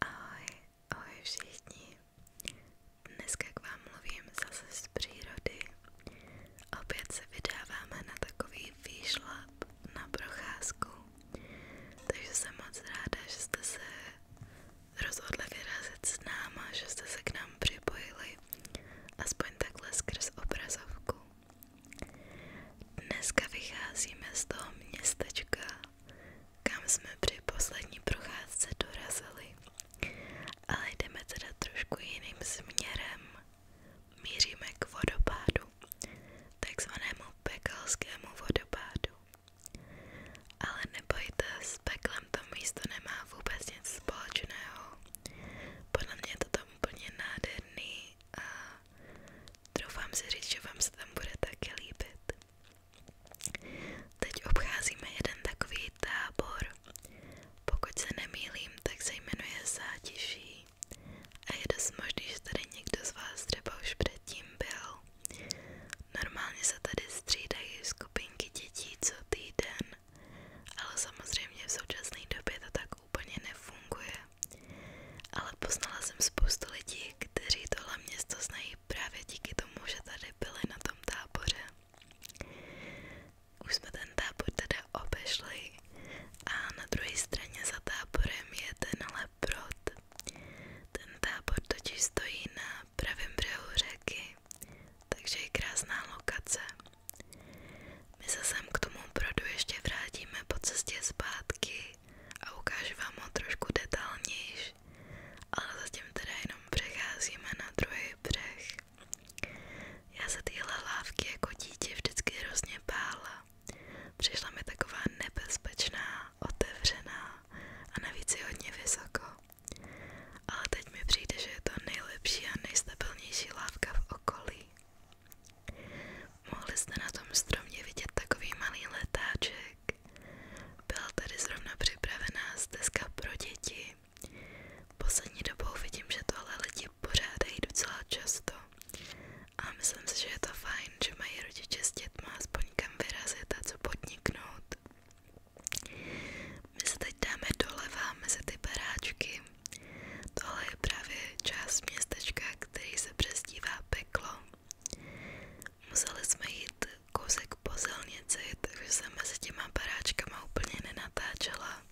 Ahoj, ahoj všichni. Dneska k vám mluvím zase z přírody. Opět se vydáváme na takový výšlap, na procházku. Takže jsem moc ráda, že jste se rozhodli vyrazit s náma, že jste se k nám připojili. Aspoň takhle skrz obrazovku. Dneska vycházíme z toho městečka, kam jsme při poslední procházce dorazili. Ale jdeme teda trošku jiným směrem. Míříme k vodopádu, takzvanému pekalskému vodopádu. Ale nebojte, s peklem to místo nemá vůbec nic společného. Podle mě je to tam úplně nádherný a Doufám si říct, že vám se tam bude také líbit. Teď obcházíme jeden takový tábor. Pokud se nemýlím, tak se jmenuje Zátiší. A je dost možný, že tady někdo z vás třeba už předtím byl. Normálně se tady střídají skupinky dětí co týden, ale samozřejmě v současné době to tak úplně nefunguje. Ale poznala jsem spoustu lidí, kteří tohle město znají právě díky tomu, že tady byli na tom táboře. Už jsme ten tábor teda obešli a na druhé straně za táborem je ten leprot. Ten tábor totiž stojí na pravém břehu řeky, takže je krásná lokace. My se sem k tomu brodu ještě vrátíme po cestě zpátky a ukážu vám ho trošku detailnější, ale zatím teda jenom přecházíme na druhý břeh. Já se tyhle lávky jako dítě vždycky hrozně bála. Přišla mi taková nebezpečná, otevřená a navíc je hodně vysoko. Ale teď mi přijde, že je to nejlepší a nejstabilnější lávka v okolí. Mohli jste na tom stromě vidět takový malý letáček. Byla tady zrovna připravená stezka pro děti. Poslední dobou vidím, že tohle lidi pořádají docela často. A myslím si, že je to fajn, že mají rodiče s dětma aspoň kam vyrazit a co podniknout. My se teď dáme doleva mezi ty baráčky. Tohle je právě část městečka, který se přezdívá peklo. Museli jsme jít kousek po silnici, takže jsem mezi těma paráčkama úplně nenatáčela.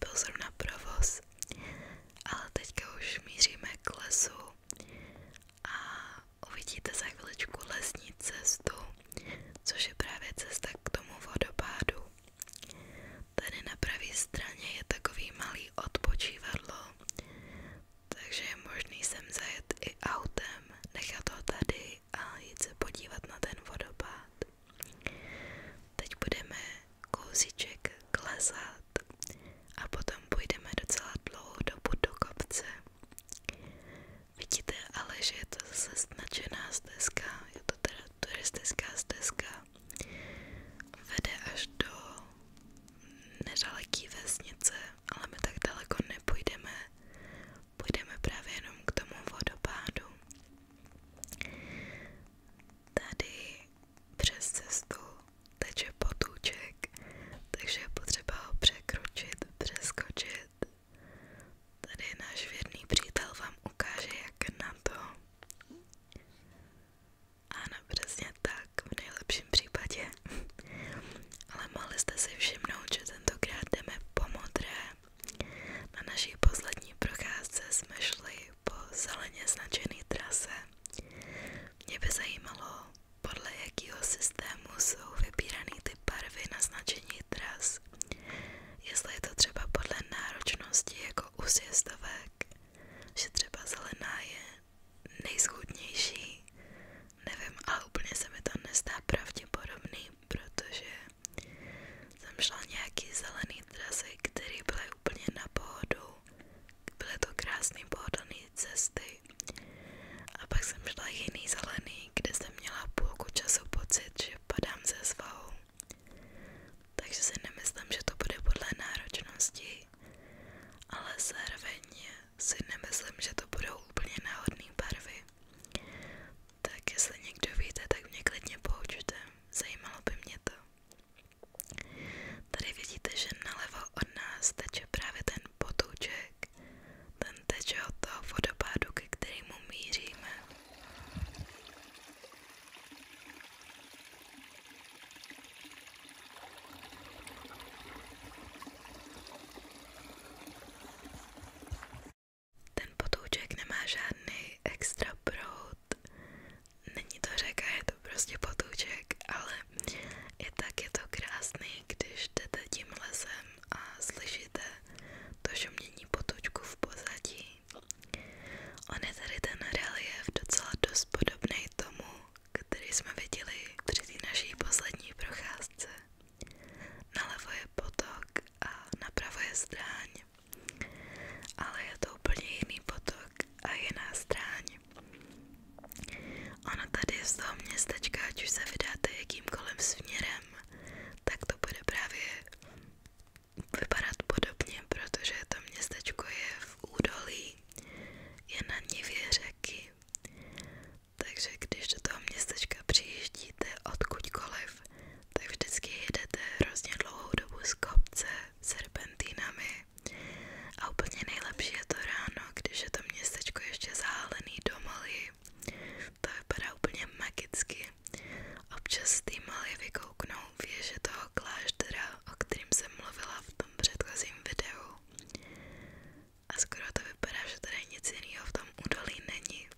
Byl zrovna provoz, ale teďka už míříme k lesu a uvidíte za chviličku lesní cestu, což je právě cesta k tomu vodopádu. Tady na pravé straně je takový malý odpočívadlo, takže je možný sem zajet i autem, nechat ho tady a jít se podívat na ten vodopád. Teď budeme kousíček klesat a potom půjdeme docela dlouhou dobu do kopce. Vidíte ale, že je to zase značená stezka, je to teda turistická stezka, vede až do nedaleký vesnice, ale my tak daleko nepůjdeme. Půjdeme právě jenom k tomu vodopádu. Tady přes cestu teče potůček, takže je potřeba ho překročit, přeskočit. Tady náš věrný přítel vám ukáže, jak na to. Ano, přesně tak, v nejlepším případě. Ale mohli jste si všimnout, že tentokrát jdeme po modré. Na naší poslední procházce jsme šli po zeleně značené trase. Mě by zajímalo, podle jakého systému jsou vybírané ty barvy na značení tras. Jestli je to třeba podle náročnosti jako u sjezdovek, že třeba zelená je nejschudnější, nevím, ale úplně se mi to nezdá pravděpodobný, protože jsem šla nějaký zelený trasy, které byly úplně na pohodu, byly to krásné pohodlné cesty a pak jsem šla jiný zelený, kde jsem měla půlku času pocit, že padám ze svahu. Takže si nemyslím, že to bude podle náročnosti, ale zároveň si nemyslím, že to budou úplně náhodné barvy. Tak jestli někdo víte, tak mě klidně poučte, zajímalo by mě to. Tady vidíte, že nalevo od nás teče právě ten potůček, ten teče od toho vodopádu, ke kterému míříme. Ten potouček nemá žádný extra proud, není to řeka, je to prostě potouček, ale i tak je to krásný, když jdete tím lesem a slyšíte to šumění potoučku v pozadí. On je tady ten relief docela dost podobný tomu, který jsme viděli při té naší poslední procházce. Nalevo je potok a napravo je stráň, ale je to úplně jiný potok a jiná stráň. Ono tady z toho městečka, ať už se vydáte jakýmkoliv směrem, tak to bude právě vypadat podobně, protože to městečko je v údolí je na nivě řeky. Takže když do toho městečka přijíždíte odkudkoliv, tak vždycky jedete hrozně dlouhou dobu z kopce, serpentínami a úplně nejlepší je to ráno, když je to městečko ještě zahálený do malý. To vypadá úplně magicky. Občas z té malé vykouknou věže toho kláštera, o kterým jsem mluvila v tom předchozím videu. A skoro to vypadá, že tady nic jiného v tom údolí není.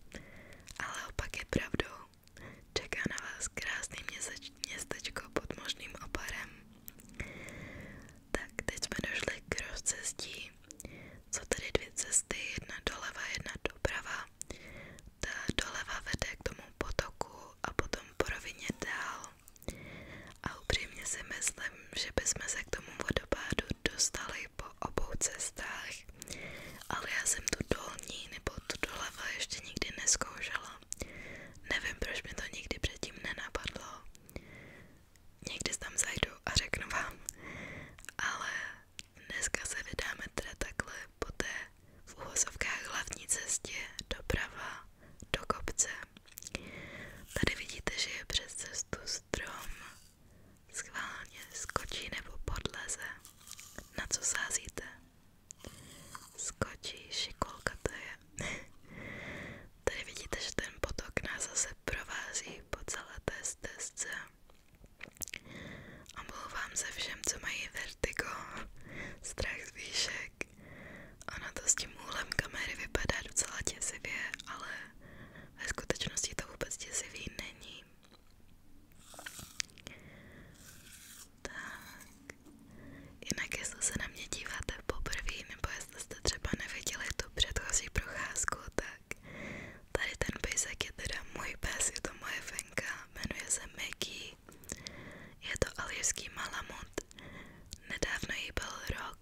Ale opak je pravdou. Čeká na vás krásný měseč, městečko pod možným oparem. Tak, teď jsme došli k rozcestí. Jsou tady dvě cesty, jedna doleva, jedna doprava. Ta doleva vede k tomu potoku a potom po rovině dál a upřímně si myslím, že bychom se k tomu vodopádu dostali po obou cestách, ale já jsem tu dolní nebo tu doleva ještě nikdy neskoušela. Nevím, proč mi to nikdy předtím nenapadlo. Někdy tam zajdu a řeknu vám, ale dneska se vydáme teda takhle po té v úvozovkách hlavní cestě doprava do kopce. Tady vidíte, že je přes cestu strom, schválně skočí nebo podleze. Na co sázíte? Skočí, šikolka to je. Tady vidíte, že ten potok nás zase provází po celé té stezce. Omlouvám se všem, co mají vertigo, strach z výšek, Ona to s tím úhlem kamery vypadá docela děsivě, ale ve to vůbec děsivý není. Tak, jinak jestli se na mě díváte poprvé, nebo jestli jste třeba neviděli tu předchozí procházku, tak tady ten pejsek je můj pes, je to moje venka, jmenuje se Maggie Aljašský. Je to aljašský malamut. Nedávno jí byl rok,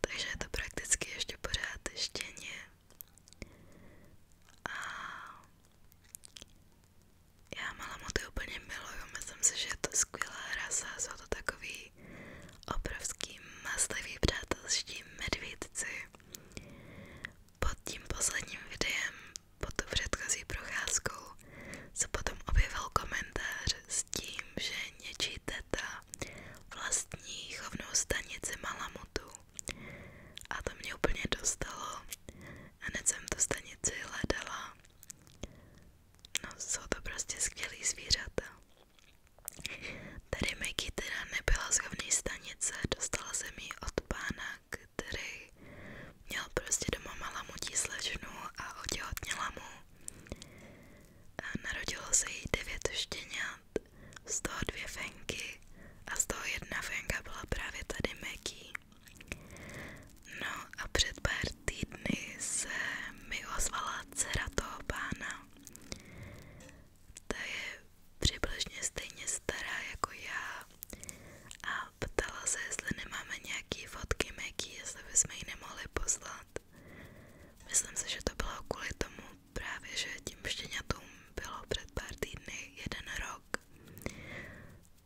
takže je to prakticky ještě pořád štěně. A já malamuty úplně miluju, myslím si, že je to skvělá rasa, jsou to takový obrovský maslivý přátelští medvídci. Pod tím posledním videem pod tu předchozí procházkou se potom objevil komentář s tím, že něčí teta vlastní chovnou stanici Malamutu. A to mě úplně dostalo. Hned jsem tu stanici hledala. No, jsou to prostě skvělý zvířata. Tady Maggie teda nebyla z chovný stanice, dostala jsem ji od pána který měl prostě doma malamutí slečnu a otěhotněla mu. Narodilo se jí devět štěňat, z toho dvě fenky a z toho jedna fenka byla právě tady Maggie. No a před pár týdny se mi ozvala dcera toho pána. Ta je přibližně stejně stará jako já, a ptala se, jestli nemáme nějaký fotky Maggie, jestli bychom ji nemohli poslat. Myslím si, že to bylo kvůli tomu právě, že tím štěňatům bylo před pár týdny jeden rok.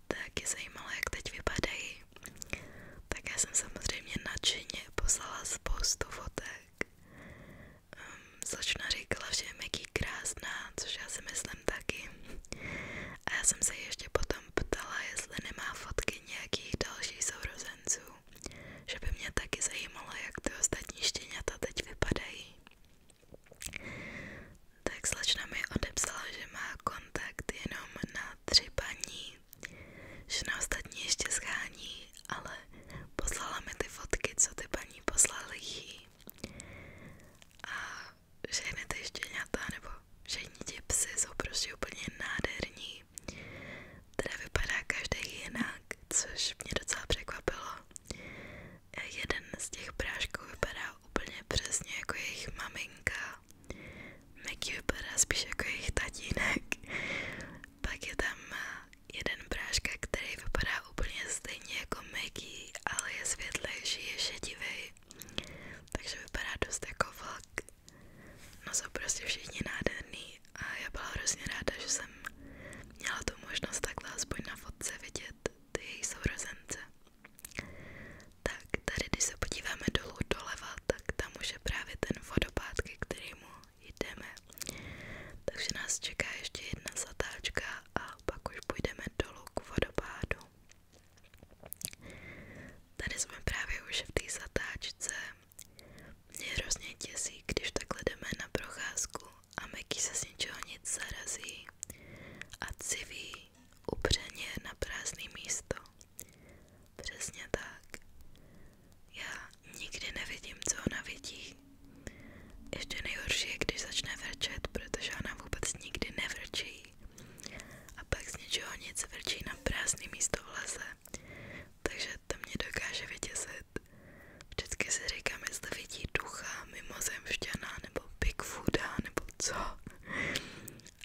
Taky zajímalo, jak teď vypadají. Tak já jsem samozřejmě nadšeně poslala spoustu fotek. Um, Slečna říkala, že je Maggie krásná, což já si myslím taky. A já jsem se ještě potom ptala, jestli nemá fotky nějakých dalších sourozenců, že by mě taky zajímalo, jak ty ostatní štěňata teď vypadají. Tak slečna mi odepsala, že má kontakt jenom na tři paní, že na ostatní ještě schání, ale poslala mi ty fotky, co ty paní poslali jí. A žehnete štěňata nebo žehníti psy jsou prostě úplně nádherní. Teda vypadá každý jinak, což mě docela překvapilo. Jeden z těch prášků vypadá úplně přesně jako jejich maminka. Maggie vypadá spíš jako jejich tatínek. Pak je tam jeden práška, který vypadá úplně stejně jako Maggie, ale je světlejší, je šedivý. Takže vypadá dost jako vlk. No jsou prostě všichni nádherný a já byla hrozně ráda, že jsem měla tu možnost takhle aspoň na fotce vidět ty její Tak když se podíváme dolů doleva, tak tam je právě ten vodopád, ke kterému jdeme. Takže nás čeká ještě jedna zatáčka a pak už půjdeme dolů k vodopádu. Čau. Tady jsme právě už v té zatáčce. Mě hrozně těsí, když takhle jdeme na procházku a Meky se z ničeho nic zarazí a civí upřeně na prázdné místo. Přesně tak. Já nikdy nevidím, co ona vidí. Ještě nejhorší je, když začne vrčet, protože ona vůbec nikdy nevrčí. A pak z ničeho nic vrčí na prázdný místo v lese. Takže to mě dokáže vytěsit. Vždycky si říkám, jestli vidí ducha, mimozemšťana, nebo Bigfooda, nebo co.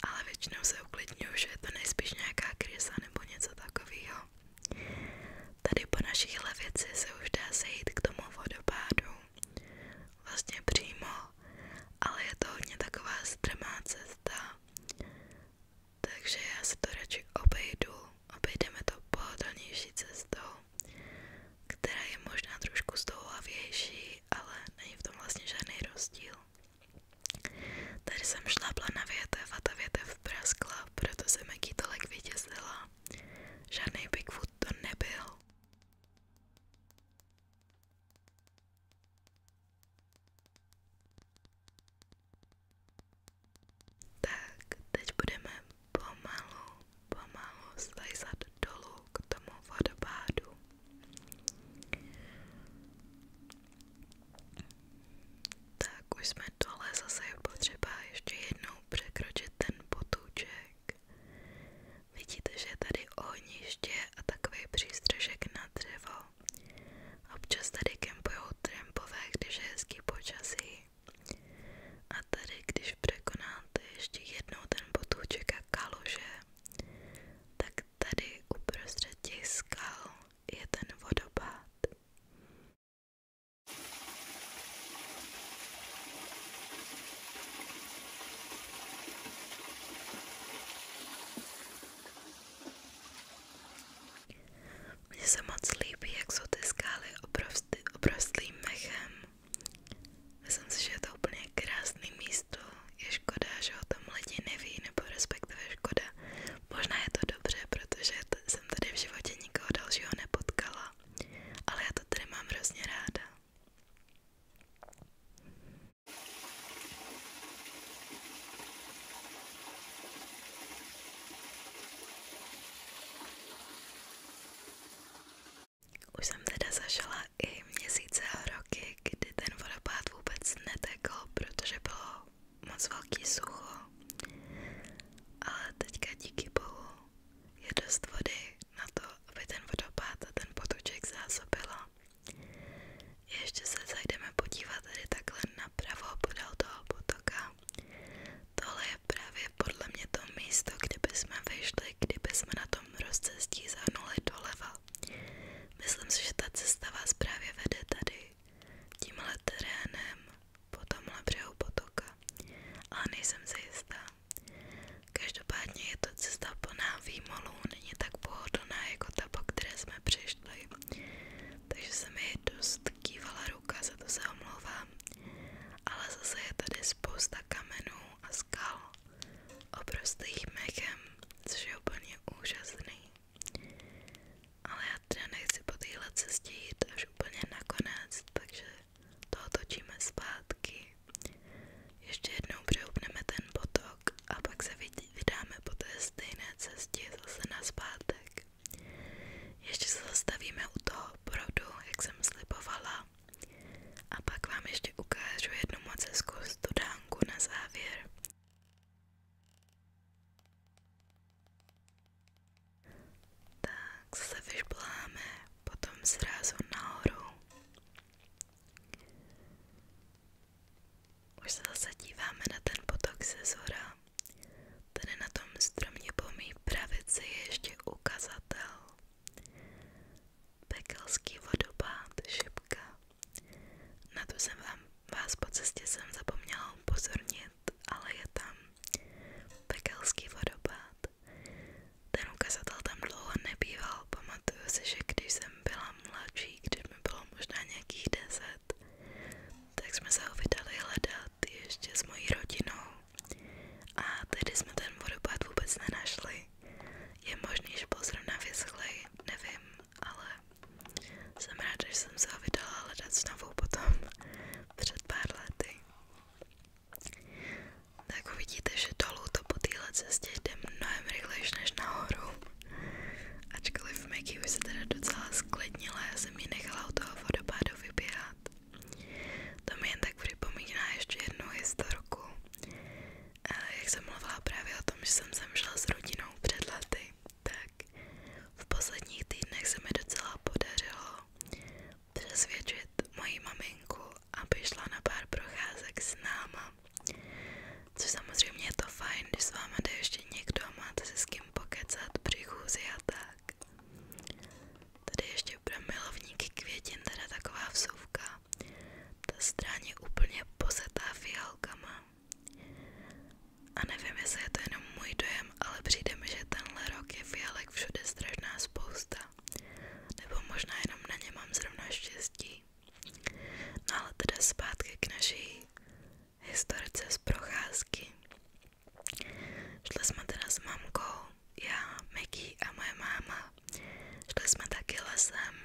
Ale většinou se uklidňuju, že je to nejspíš nějaká krysa nebo něco takového. Tady po našich levici se už dá sejít k tomu vodopádu vlastně přímo, ale je to hodně taková strmá cesta, takže já si to radši obejdu, obejdeme to pohodlnější cestou, která je možná trošku zdouhlavější, ale není v tom vlastně žádný rozdíl. Tady jsem šlápla na větev a ta větev praskla, proto jsem jaký tolik vytěsila. Žádný Bigfoot to nebyl. Tak, teď budeme pomalu, pomalu slizat dolů k tomu vodopádu. Tak už jsme dole, zase je potřeba ještě jednou překročit ten potůček. Vidíte, že je tady ohniště a takový přístřešek na dřevo. Občas tady kempujou trampové, když je hezký počasí. A tady, když překonáte ještě jednou ten potůček a kaluže, tak tady uprostřed těch skal je ten vodopád. Mně se moc líbí, jak jsou ty skály obrovsty, obrovstlým mechem. Myslím si, že je to úplně krásný místo. Je škoda, že o tom lidi neví, nebo respektive škoda. Možná je to dobře, protože jsem tady v životě nikoho dalšího nepotkala. Ale já to tady mám hrozně ráda. Už jsem teda zažila i měsíce a roky, kdy ten vodopád vůbec netekl, protože bylo moc velký sucho. Ale teďka díky bohu je dost vody na to, aby ten vodopád a ten potoček zásobila. Ještě se zajdeme podívat tady takhle napravo podél toho potoka. Tohle je právě podle mě to místo, kdyby jsme vyšli, kdyby jsme na tom rozcestí zahnuli doleva. Myslím si, že ta cesta vás právě vede tady, tímhle terénem, po tomhle břehu potoka, ale nejsem si jistá. Každopádně je to cesta plná výmolů, není tak pohodlná jako ta, po které jsme přišli. Takže se mi dost kývala ruka, za to se omlouvám. Ale zase je tady spousta kamenů a skal oprostých mechem, což je úplně úžasný. Ale já teda nechci po téhle cestě jít až úplně nakonec, takže to otočíme zpátky, ještě jednou přeupneme ten potok a pak se vydáme po té stejné cestě zase na zpátek. Ještě se zastavíme u toho brodu, jak jsem slibovala. A pak vám ještě ukážu jednu moc hezkou studánku na závěr. Tak se vyšpláme potom zrazu nahoru. Už se zase díváme na ten potok ze zhora. Tady na tom stromě po mý pravici je ještě ukazatel. Pekelský vodopád, šipka. Na to jsem vám, vás po cestě jsem zapomněla upozornit, ale je tam pekelský vodopád. Ten ukazatel tam dlouho nebýval. Pamatuju si, že když jsem byla mladší, když mi bylo možná nějakých deset, tak jsme se ho vydali hledat ještě s mojí rodinou. A tedy jsme ten vodopád vůbec nenašli. Je možný, že byl zrovna vyschlej, nevím, ale jsem ráda, že jsem se ho vydala hledat znovu potom před pár lety. Tak uvidíte, že dolů to po téhle cestě jde mnohem rychlejší než nahoru. Ačkoliv Maggie už se teda docela sklidnila, já jsem ji nechala u toho vodopádu vyběhat. To mi jen tak připomíná ještě jednu historku. Jak jsem mluvila právě o tom, že jsem zemřela s rodinou před lety, tak v posledních týdnech se mi docela podařilo přesvědčit moji maminku, aby šla na pár procházek s náma. Což samozřejmě je to fajn, když s váma jde někdo a máte se s kým pokecat při chůzi tak. Tady ještě pro milovníky květin teda taková vsuvka. Ta stráně úplně posetá fialkama. A nevím, jestli to jenom můj dojem, ale přijde mi, že tenhle rok je fialek všude strašná spousta. Nebo možná jenom na ně mám zrovna štěstí. No ale teda k naší historce z jsme teda s mamkou, já, Maggie a moje máma. jsme taky lesem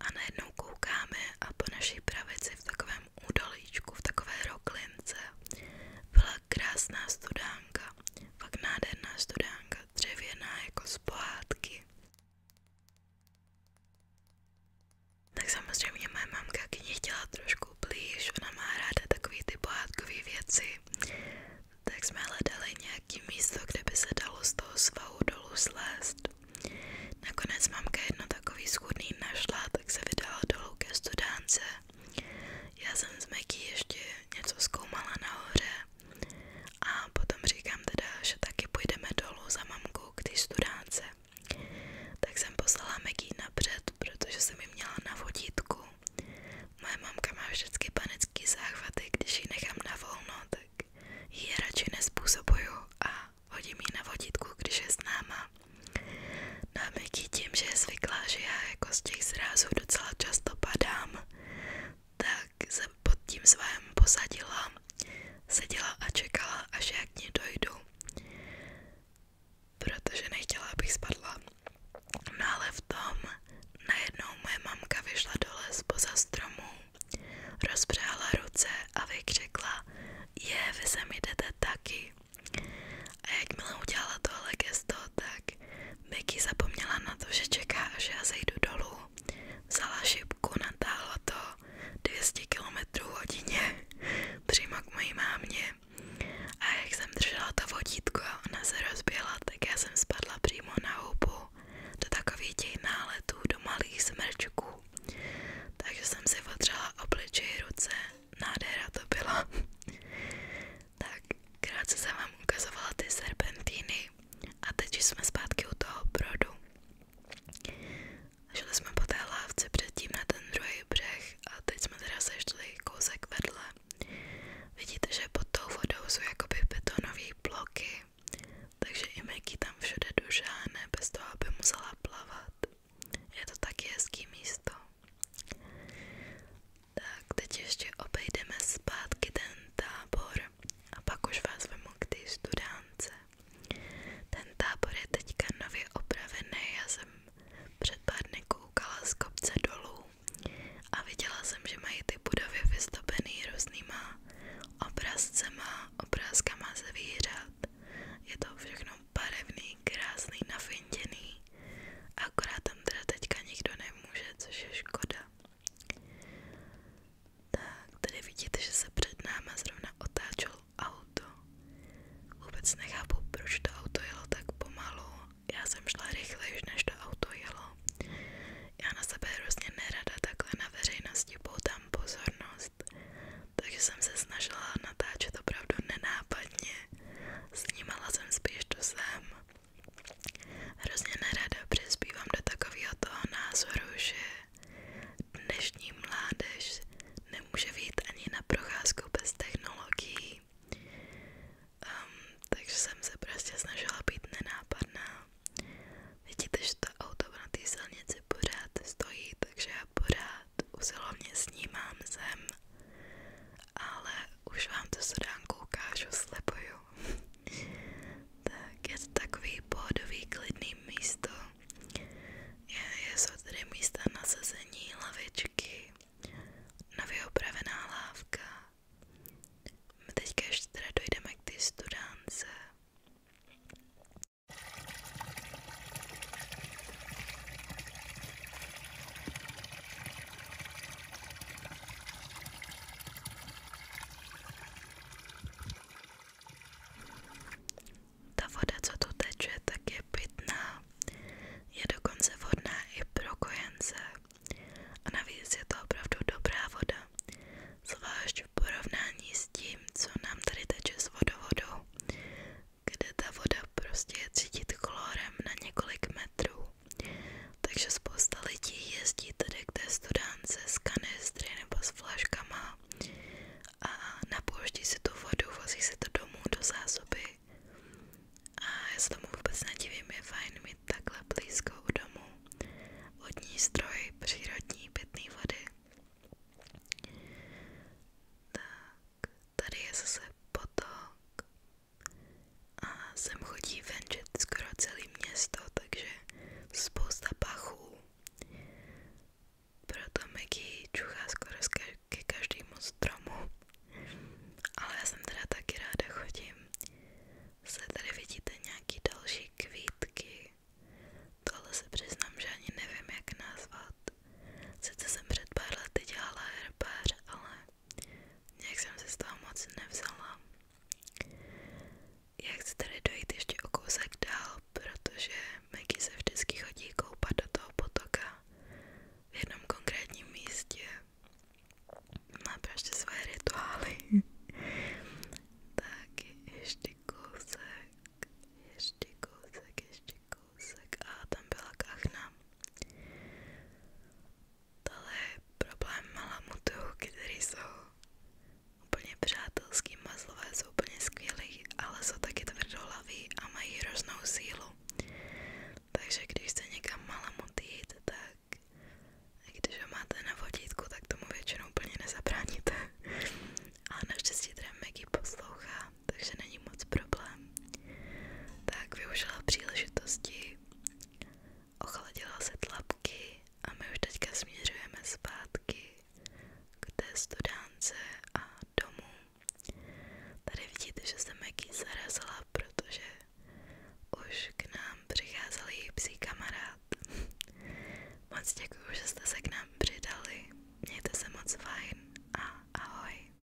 a najednou koukáme a po naší pravici v takovém údolíčku, v takové roklince byla krásná studánka, fakt nádherná studánka dřevěná jako z Tak samozřejmě moje mamka k ní chtěla trošku blíž, ona má ráda takové ty pohádkové věci. Tak jsme hledali nějaký místo, kde by se dalo z toho svahu dolů slézt. Nakonec mamka jedno takový schudný našla, tak se vydala dolů ke studánce. Já jsem s Meky ještě něco zkoumala nahoře a potom říkám teda, že taky půjdeme dolů za mamkou k té studánce. Tak jsem poslala Meky napřed, protože jsem ji měla na vodítku. Moje mamka má vždycky panický záchvaty, když ji nechám na volno, tak ji radši a hodím ji na vodítku, když je s náma. No tím, že je zvyklá, že já jako z těch zrázů docela často padám, tak jsem pod tím svahem posadila, seděla a čekala, až já k ní dojdu, protože nechtěla, abych spadla. No ale v tom najednou moje mamka vyšla dole spoza stromu, rozpřála ruce a vykřikla, je, vy sem jdete taky. A jakmile udělala tohle gesto, tak Becky zapomněla na to, že čeká, až já zejdu dolů. Vzala šipku, natáhla to 200 km hodině přímo k mojí mámě. A jak jsem držela to vodítko a ona se rozběla, tak já jsem spadla přímo na hubu do takových těch náletů, do malých smrčků. Takže jsem si otřela obličej ruce, nádhera to byla. Tak krátce jsem vám ukazovala ty serpentíny a teď jsme zpátky u toho brodu. Šli jsme po té lávce předtím na ten druhý břeh a teď jsme teda sešli kousek vedle. Vidíte, že pod tou vodou jsou jakoby betonové bloky, takže i Maggie tam všude dužáne bez toho, aby musela plavat. Je to taky hezký místo. Tak teď ještě obejdeme zpátky ten tábor a pak už vás vemu k té studánce. Ten tábor je teďka nově opravený, já jsem před pár dny koukala z kopce dolů a viděla jsem, že mají ty budovy vystopený různýma obrazcema, obrázkama zvířat. Je to všechno barevný, krásný, nafinděný. Akorát tam teda teďka nikdo nemůže, což je škoda. Tak, tady vidíte, že se před náma zrovna otáčelo auto. Vůbec nechápu, proč to auto jelo tak pomalu. Já jsem šla rychleji, než to auto jelo. Já na sebe hrozně nerada takhle na veřejnosti poutám pozornost, takže jsem se snažila natáčet opravdu nenápadně. Snímala jsem spíš to sem. Hrozně nerada přispívám do takového toho názoru, že dnešní mládež nemůže vyjít ani na procházku bez technologií. Um, takže jsem se prostě snažila být nenápadná. Vidíte, že to auto na té silnici pořád stojí, takže já pořád usilovně snímám zem ale už vám tu sodánku ukážu, slibuju. tak je to takový pohodový klidný místo. Je, jsou tady místa na sezení, lavičky, nově opravená lávka. My teďka ještě teda dojdeme k ty studánce. Ta voda, co tu teče, tak je pitná, je dokonce vhodná i pro kojence. A navíc je to opravdu dobrá voda, zvlášť v porovnání s tím, co nám tady teče s vodovodou, kde ta voda prostě je cítit chlorem na několik metrů. Takže spousta lidí jezdí tedy k té studánce s kanistry nebo s flaškama a napouští si tu vodu, vozí si to domů do zásoby. A já se tomu vůbec nedivím, je fajn mít takhle blízko u domu vodní stroj, přírodní pitné vody. Tak, tady je zase potok, a sem chodí venčet skoro celé město, takže spousta pachů. Proto Maggie čuchá skoro ke každému stromu. Ale já jsem teda taky ráda chodím. Se tady vidíte nějaký další kvítky. Tohle se přiznám, že ani nevím, jak nazvat. Sice jsem před pár lety dělala herbář, ale Nějak jsem se z toho moc nevzala. Já chci tady dojít ještě o kousek dál, protože Maggie se vždycky chodí koupat do toho potoka v jednom konkrétním místě. Má prostě svoje rituály. tak ještě kousek, ještě kousek, ještě kousek kousek a tam byla kachna. Tohle je problém malamutů, který jsou úplně přátelský, mazlové jsou úplně skvělí, ale jsou taky tvrdohlaví a mají hroznou sílu. Takže když se někam malamut jít, tak když ho máte na vodítku, tak tomu většinou úplně nezabráníte. A naštěstí teda Maggie poslouchá takže není moc problém. Tak využila příležitosti, ochladila se tlapky a my už teďka směřujeme zpátky k té studánce a domů. Tady vidíte, že se Maggie zarazila, protože už k nám přicházel její psí kamarád. moc děkuji, že jste se k nám přidali. Mějte se moc fajn a ahoj.